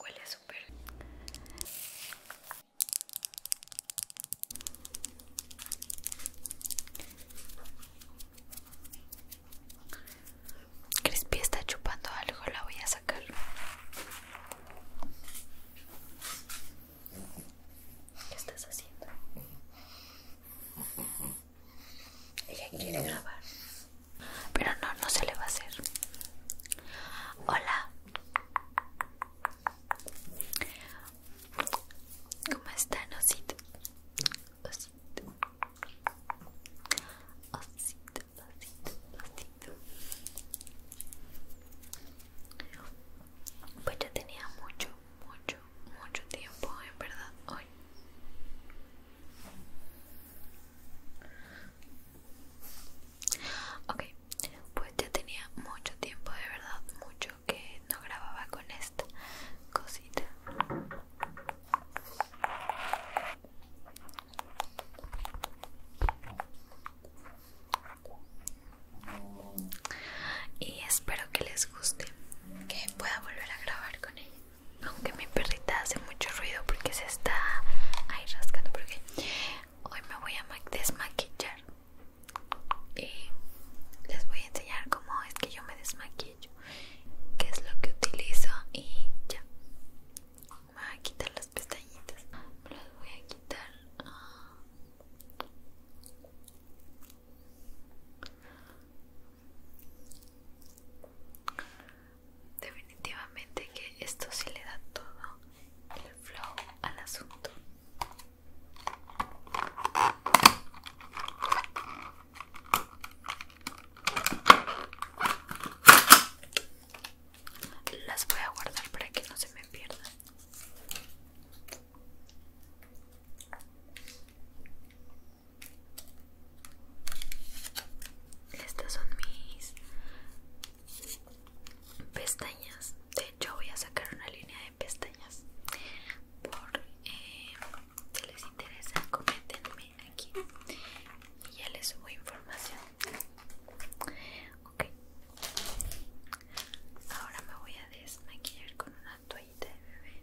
Huele súper. Crispy está chupando algo, la voy a sacar. ¿Qué estás haciendo? Ella quiere grabar. Pero no, no se le va a hacer. Hola. ¿Cómo están, osito? Osito. Osito, osito, osito. Pues yo tenía mucho, mucho, mucho tiempo, en verdad, hoy. Ok, pues ya tenía mucho tiempo, de verdad, mucho que no grababa con esta cosita. Y espero que les guste, que pueda volver a grabar con ella aunque mi perrita hace mucho ruido porque se está ahí rascando porque hoy me voy a desmaquillar y les voy a enseñar cómo es que yo me desmaquillo qué es lo que utilizo y ya me voy a quitar las pestañitas las voy a quitar ah. Definitivamente que esto sí le da todo el flow al asunto. Las voy a guardar para que no se me pierdan. Estas son mis pestañas. De hecho, voy a sacar una línea de pestañas. Por eh, si les interesa, coméntenme aquí y ya les subo información. Ok, ahora me voy a desmaquillar con una toallita de bebé.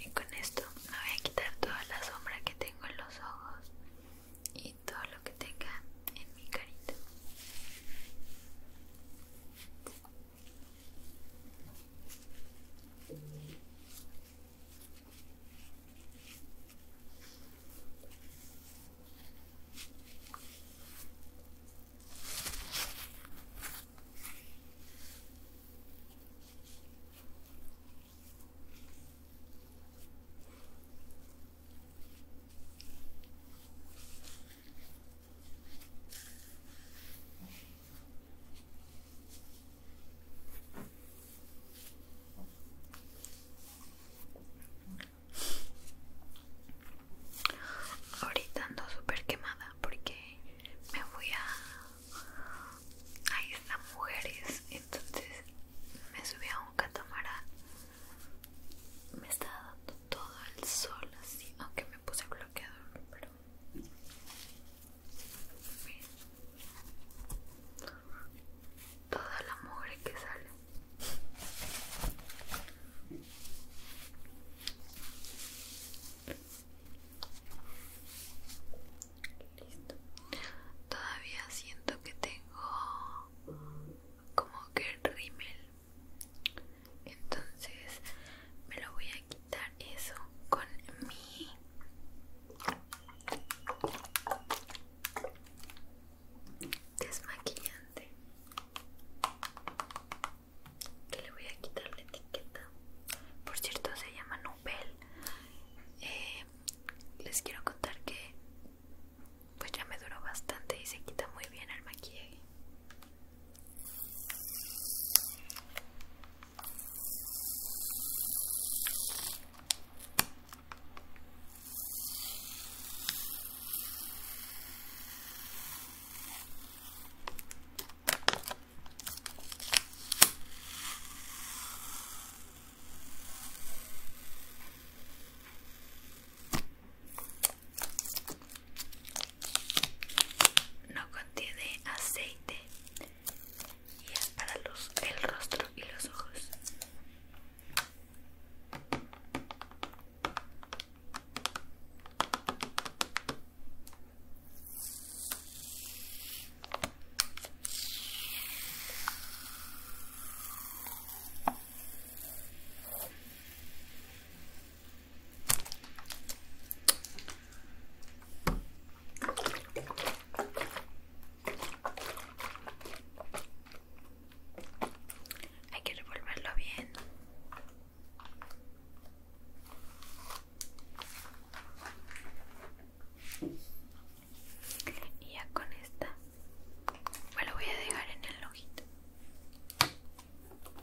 y con esto voy a quitar toda la sombra que tengo en los ojos y todo lo que tenga en mi carita Ahorita ando súper quemada porque me voy a ahí están Mujeres entonces me subí a un catamarán me está dando todo el sol así aunque me puse bloqueador pero toda la mugre que sale Listo. Todavía siento que tengo como que el rímel. Entonces me lo voy a quitar eso con mi desmaquillante que le voy a quitar la etiqueta por cierto se llama Nubel eh, les quiero contar que pues ya me duró bastante y se quita muy bien el maquillaje no contiene aceite y es para los, el rostro y los ojos. Hay que revolverlo bien y ya con esta Bueno, voy a dejar en el ojito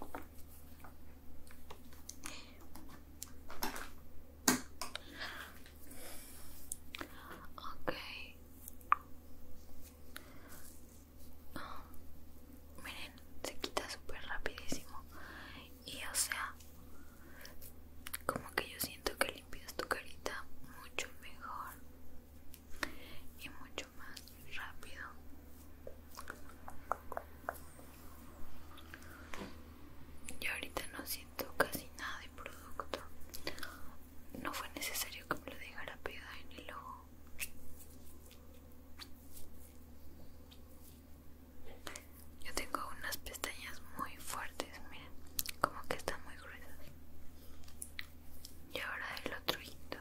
ok Oh, miren se quita súper rapidísimo y o sea como que yo siento que limpias tu carita mucho mejor y mucho más rápido yo ahorita no siento casi nada de producto no fue necesario que me lo dejara pegada en el ojo yo tengo unas pestañas muy fuertes, miren, como que están muy gruesas. Y ahora el otro hito.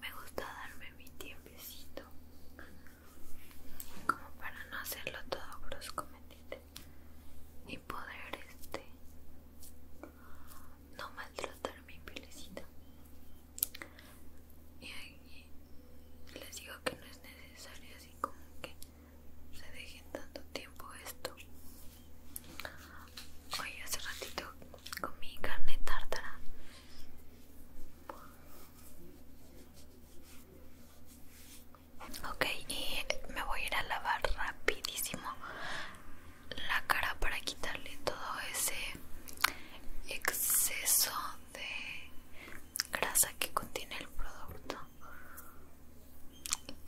Me gusta darme mi tiempecito como para no hacerlo todo brusco, ¿me Y poder este no maltratar mi pielecita. Y ahí les digo que no es necesario así como que se dejen tanto tiempo esto. Hoy hace ratito comí carne tártara. Ok, y me voy a ir a lavar rapidísimo la cara para quitarle todo ese exceso de grasa que contiene el producto.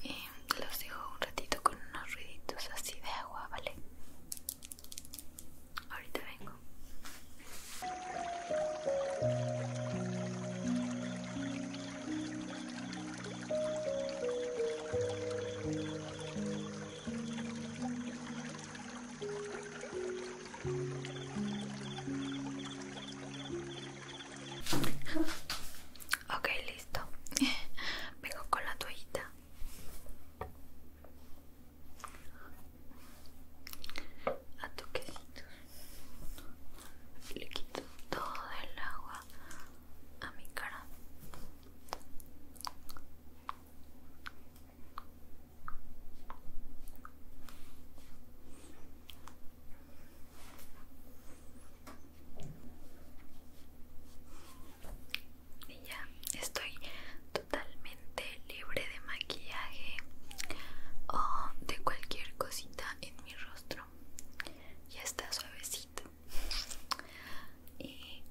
Y los dejo un ratito con unos ruiditos así de agua, ¿vale? Ahorita vengo. Ok, listo. Vengo con la toallita a toquecitos le quito todo el agua a mi cara y ya estoy totalmente libre de maquillaje o de cualquier cosita en mi rostro ya está suavecito y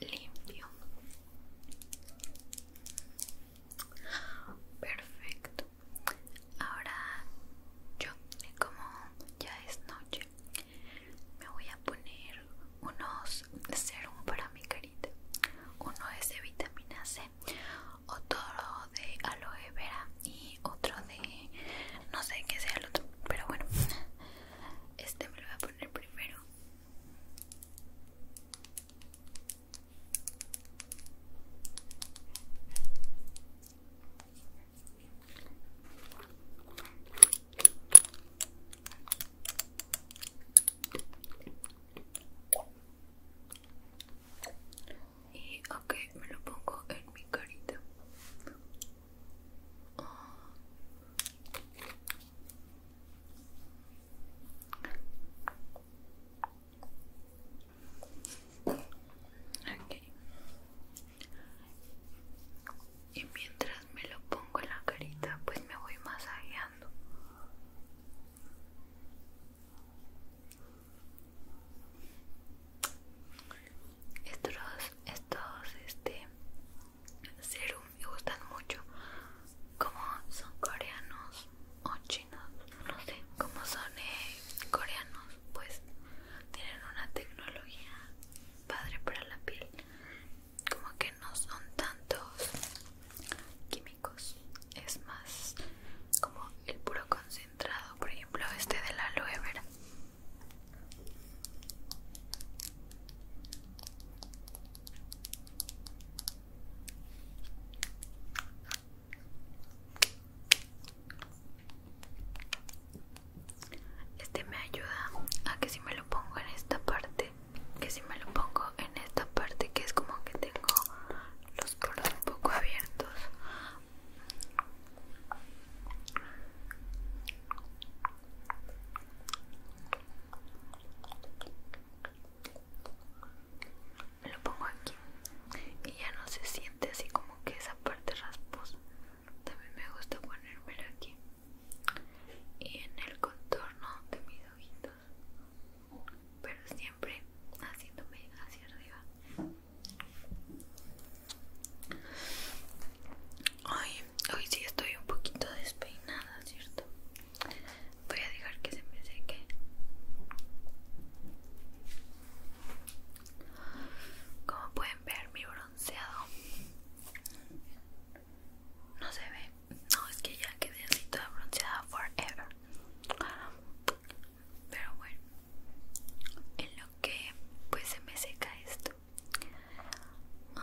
limpio perfecto ahora yo como ya es noche me voy a poner unos serum para mi carita uno es de vitamina C otro de aloe vera y otro de no sé qué sea el otro, pero bueno, este me lo voy a poner primero. Y ok, me lo pongo en mi carita. Y mientras me lo pongo en la carita, pues me voy masajeando. Estos, estos, este, serum me gustan mucho. Como son coreanos o chinos, no sé, como son eh, coreanos, pues tienen una tecnología padre para la piel. Como que no son tantos químicos es más como el puro concentrado por ejemplo este de la aloe vera este me ayuda a que si me lo pongo en esta parte que si me lo pongo en esta parte que es como que tengo los poros un poco abiertos me lo pongo aquí y ya no se siente así como que esa parte rasposa también me gusta ponérmelo aquí y en el contorno de mis ojitos pero siempre haciéndome hacia arriba. hoy hoy sí estoy un poquito despeinada, ¿cierto? Voy a dejar que se me seque. Como pueden ver, mi bronceado no se ve. No, es que ya quedé así toda bronceada forever. Pero bueno, en lo que pues se me seca esto. Um,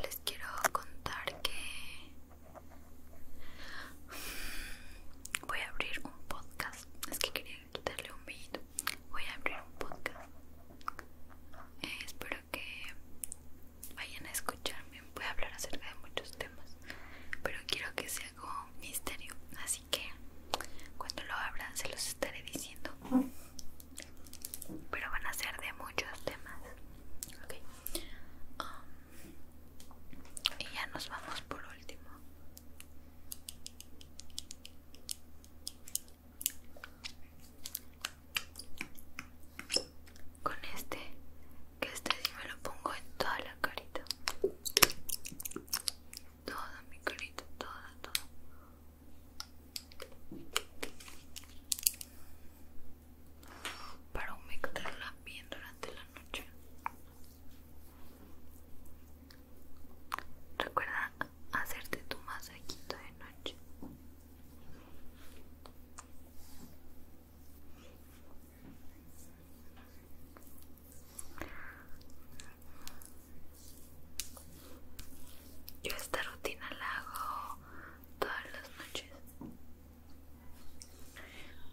les quiero contar que voy a abrir un podcast. Es que quería quitarle un vídeo Voy a abrir un podcast. Eh, espero que vayan a escucharme. Voy a hablar acerca de muchos temas, pero quiero que sea como misterio. Así que cuando lo abran se los estaré diciendo. Pero van a ser de muchos temas. Um, y ya nos vamos por último. Con este, que este sí me lo pongo en toda la carita. Toda mi carita, toda, toda. Para humectarla bien durante la noche. Recuerda hacerte tu masajito de noche. Yo esta rutina la hago todas las noches.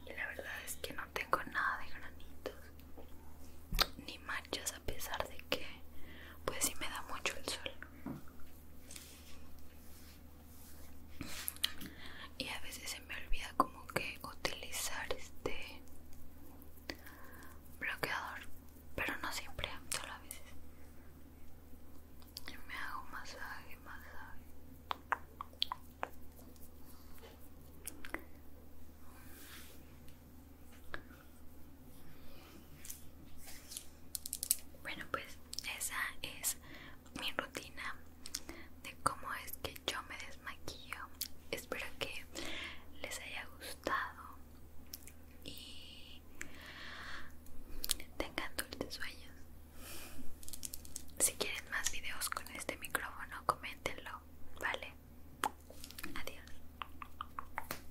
Y la verdad es que no tengo nada de granitos ni manchas a pesar de que pues si me da mucho el sol y a veces se me olvida como que utilizar este bloqueador pero no siempre solo a veces me hago masaje masaje bueno, pues esa es mi rutina de cómo es que yo me desmaquillo. Espero que les haya gustado y tengan dulces sueños. Si quieren más videos con este micrófono, coméntenlo, ¿vale? Adiós.